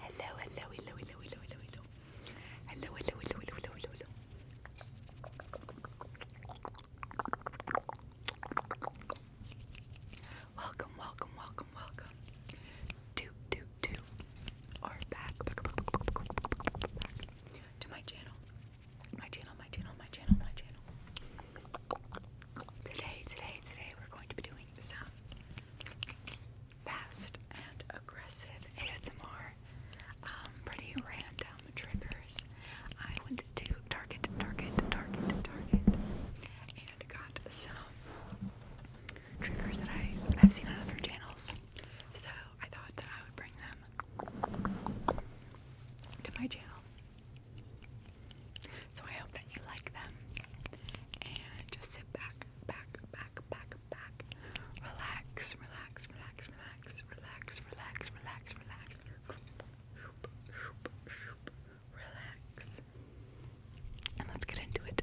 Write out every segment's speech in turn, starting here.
Hello, hello, hello, hello, hello, hello, hello. Hello, hello, hello, hello, hello, hello, hello. Welcome, welcome, welcome, welcome. Toot, toot, toot. Or back, back, back, back, back, back, back to my channel. My channel, my channel, my channel, my channel. Today, today, today, we're going to be doing Fast and aggressive ASMR. Um, pretty random triggers. I went to Target, Target, Target, Target, and got some triggers that I I've seen on other channels. So I thought that I would bring them to my channel. So I hope that you like them. And just sit back, back, back, back, back. Relax, relax, relax, relax, relax, relax, relax, relax. Relax. And let's get into it.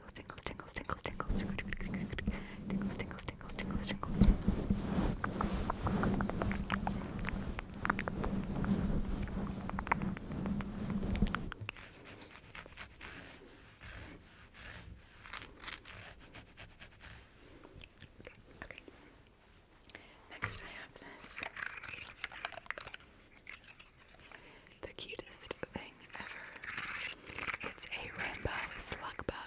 tingles, tingles, tingles, tingles, tingles, tingles, tingles, tingles, tingles, tingles. Okay, okay. Next, I have this. The cutest thing ever. It's a rainbow slug bug.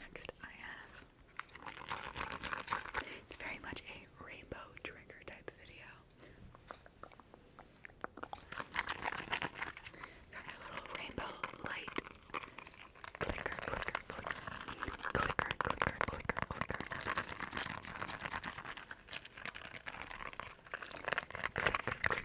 Next, I have it's very much a rainbow trigger type video. Got my little rainbow light. Clicker, clicker, clicker. Clicker, clicker, clicker, clicker. Clicker, clicker, clicker, clicker.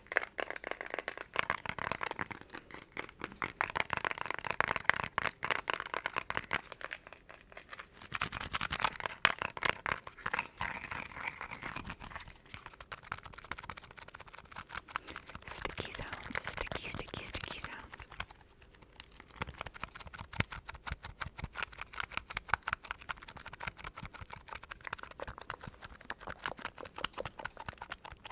Sticky sounds, sticky, sticky, sticky sounds.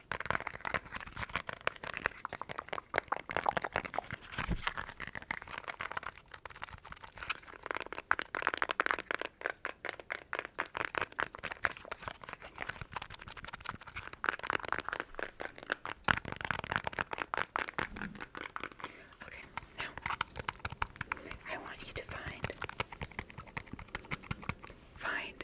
Okay, now I want you to find find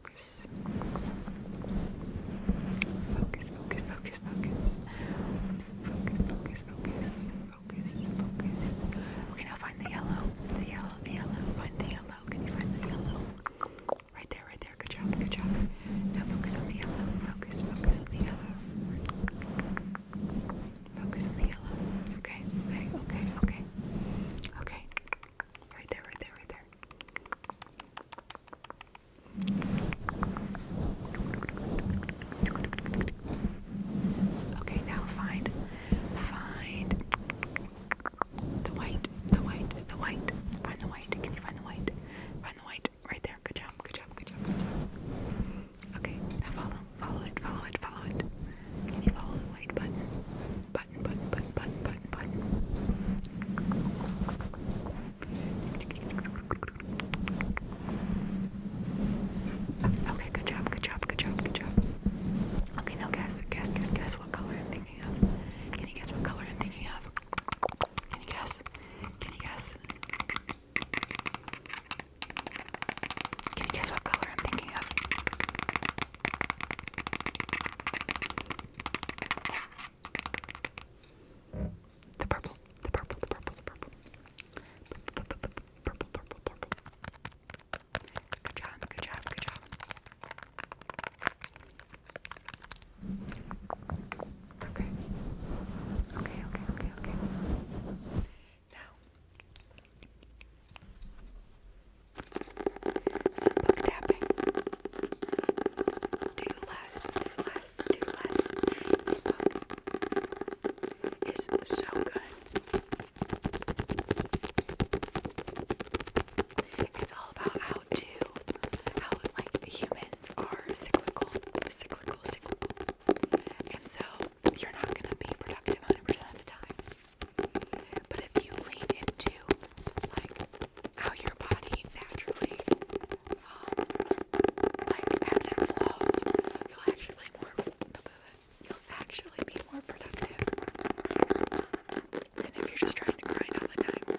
Focus. Focus, focus, focus, focus. Focus, focus, focus, focus, focus. Okay, now find the yellow. The yellow, the yellow. Find the yellow. Can you find the yellow? Right there, right there. Good job, good job. Now focus on the yellow. Focus, focus on the yellow. Focus on the yellow. Okay, okay, okay, okay. Okay. Right there, right there, right there. Okay, now find, find the white, the white, the white. Find the white. Can you find the white? Find the white right there. Good job. Good job. Good job. Good job. Okay, now follow, follow it, follow it, follow it. Can you follow the white button? Button, button, button, button, button, button, button. Okay, good job, good job, good job, good job. Okay, now guess, guess, guess, guess what color I'm thinking of. Can you guess what color I'm thinking of? Can you guess? Can you guess? Can you guess what color I'm thinking of? The purple, the purple, the purple, the purple. Purple, purple, purple, Good job, good job, good job. Okay. Okay, okay, okay, okay. Now. Some book tapping. Do less, do less, do less. This book is so good. It's all about how to, how like humans are cyclical, cyclical, cyclical. And so you're not gonna be productive 100% of the time. But if you lean into like how your body naturally, um, like ebbs and flows. You'll actually more, you'll actually be more productive than if you're just trying to grind all the time.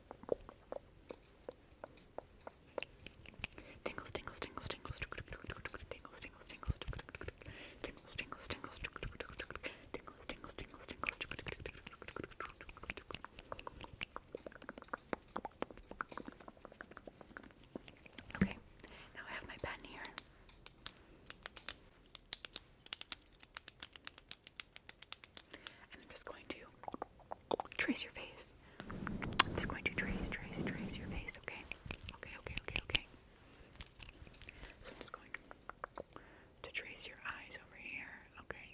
Tingles, tingles, tingles, tingles, tingles, tingles, tingles, tingles, tingles, tingles, tingles, tingles, tingles, tingles. Okay, now I have my pen here. And I'm just going to trace your face. I'm just going to trace, trace, trace your face, okay? Okay, okay, okay, okay. So I'm just going to trace your eyes over here, okay?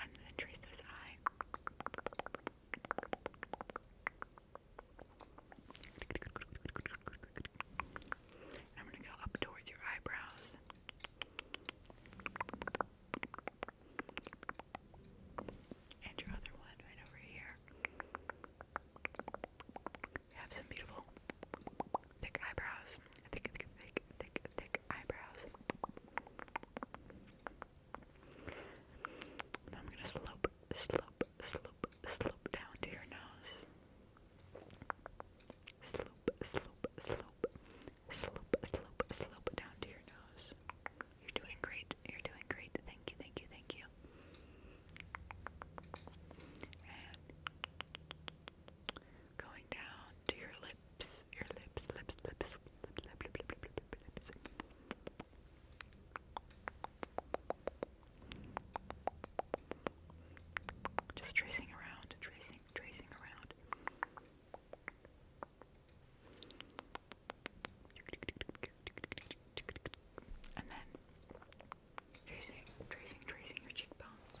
And then trace this eye. I'm going to go up towards your eyebrows. And your other one right over here. You have some beautiful thick eyebrows. Thick, thick, thick, thick, eyebrows. I'm going to slope, slope, slope, slope down to your nose. Slope, slope, slope, slope, slope, slope down to your nose. You're doing great. You're doing great. Thank you, thank you, thank you. going down to your lips, your lips, lips, lips, lips, lips, lips, lips. Just tracing around, tracing, tracing around. And then tracing, tracing, tracing your cheekbones.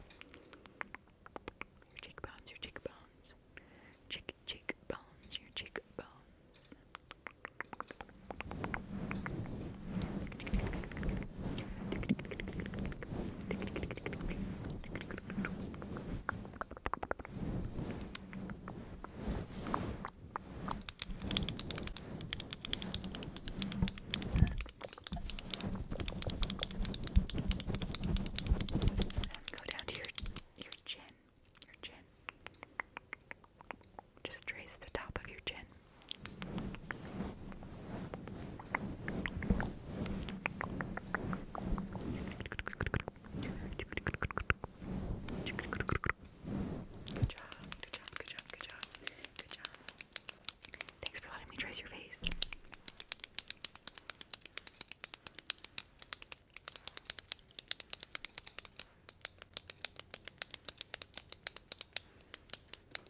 Your cheekbones, your cheekbones. Cheek, cheekbones, your cheekbones. Go down to your your chin, your chin. Just trace the top of your chin. Good job, good job, good job, good job, Thanks for letting me trace your face.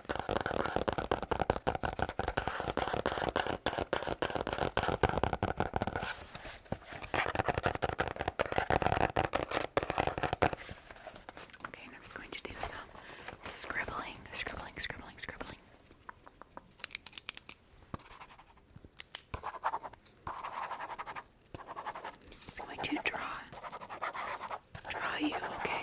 Okay, and I'm just going to do some scribbling, scribbling, scribbling, scribbling. It's going to draw, draw you, okay?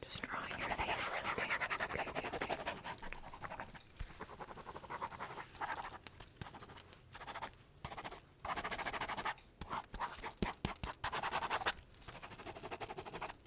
Just draw on your face. Okay, okay, okay, okay. Okay.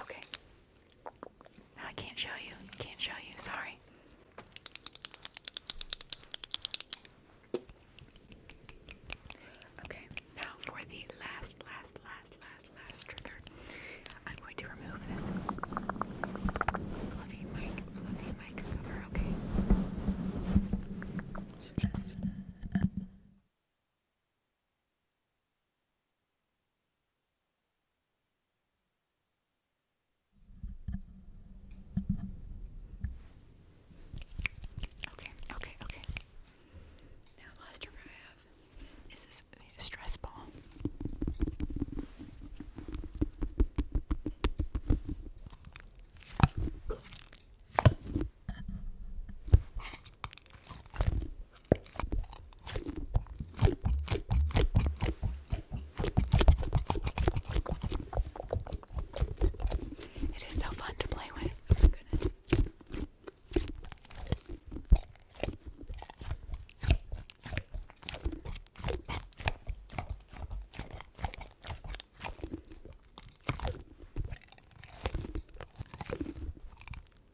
Okay. I can't show you. Can't show you. Sorry. Okay. Now for the last, last, last, last, last trigger. I'm going to remove this fluffy mic, fluffy mic cover. Okay. Uh, Okay, okay, okay. Now the last trick I have is this stress ball. It is so fun to play with. Oh my goodness.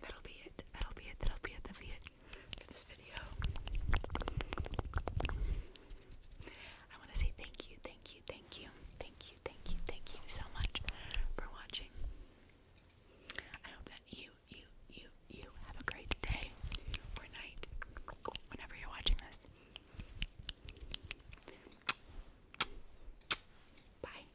That'll be it. That'll be it. That'll be it. That'll be it for this video. I want to say thank you, thank you, thank you, thank you, thank you, thank you so much for watching. I hope that you, you, you, you have a great day or night whenever you're watching this. Bye.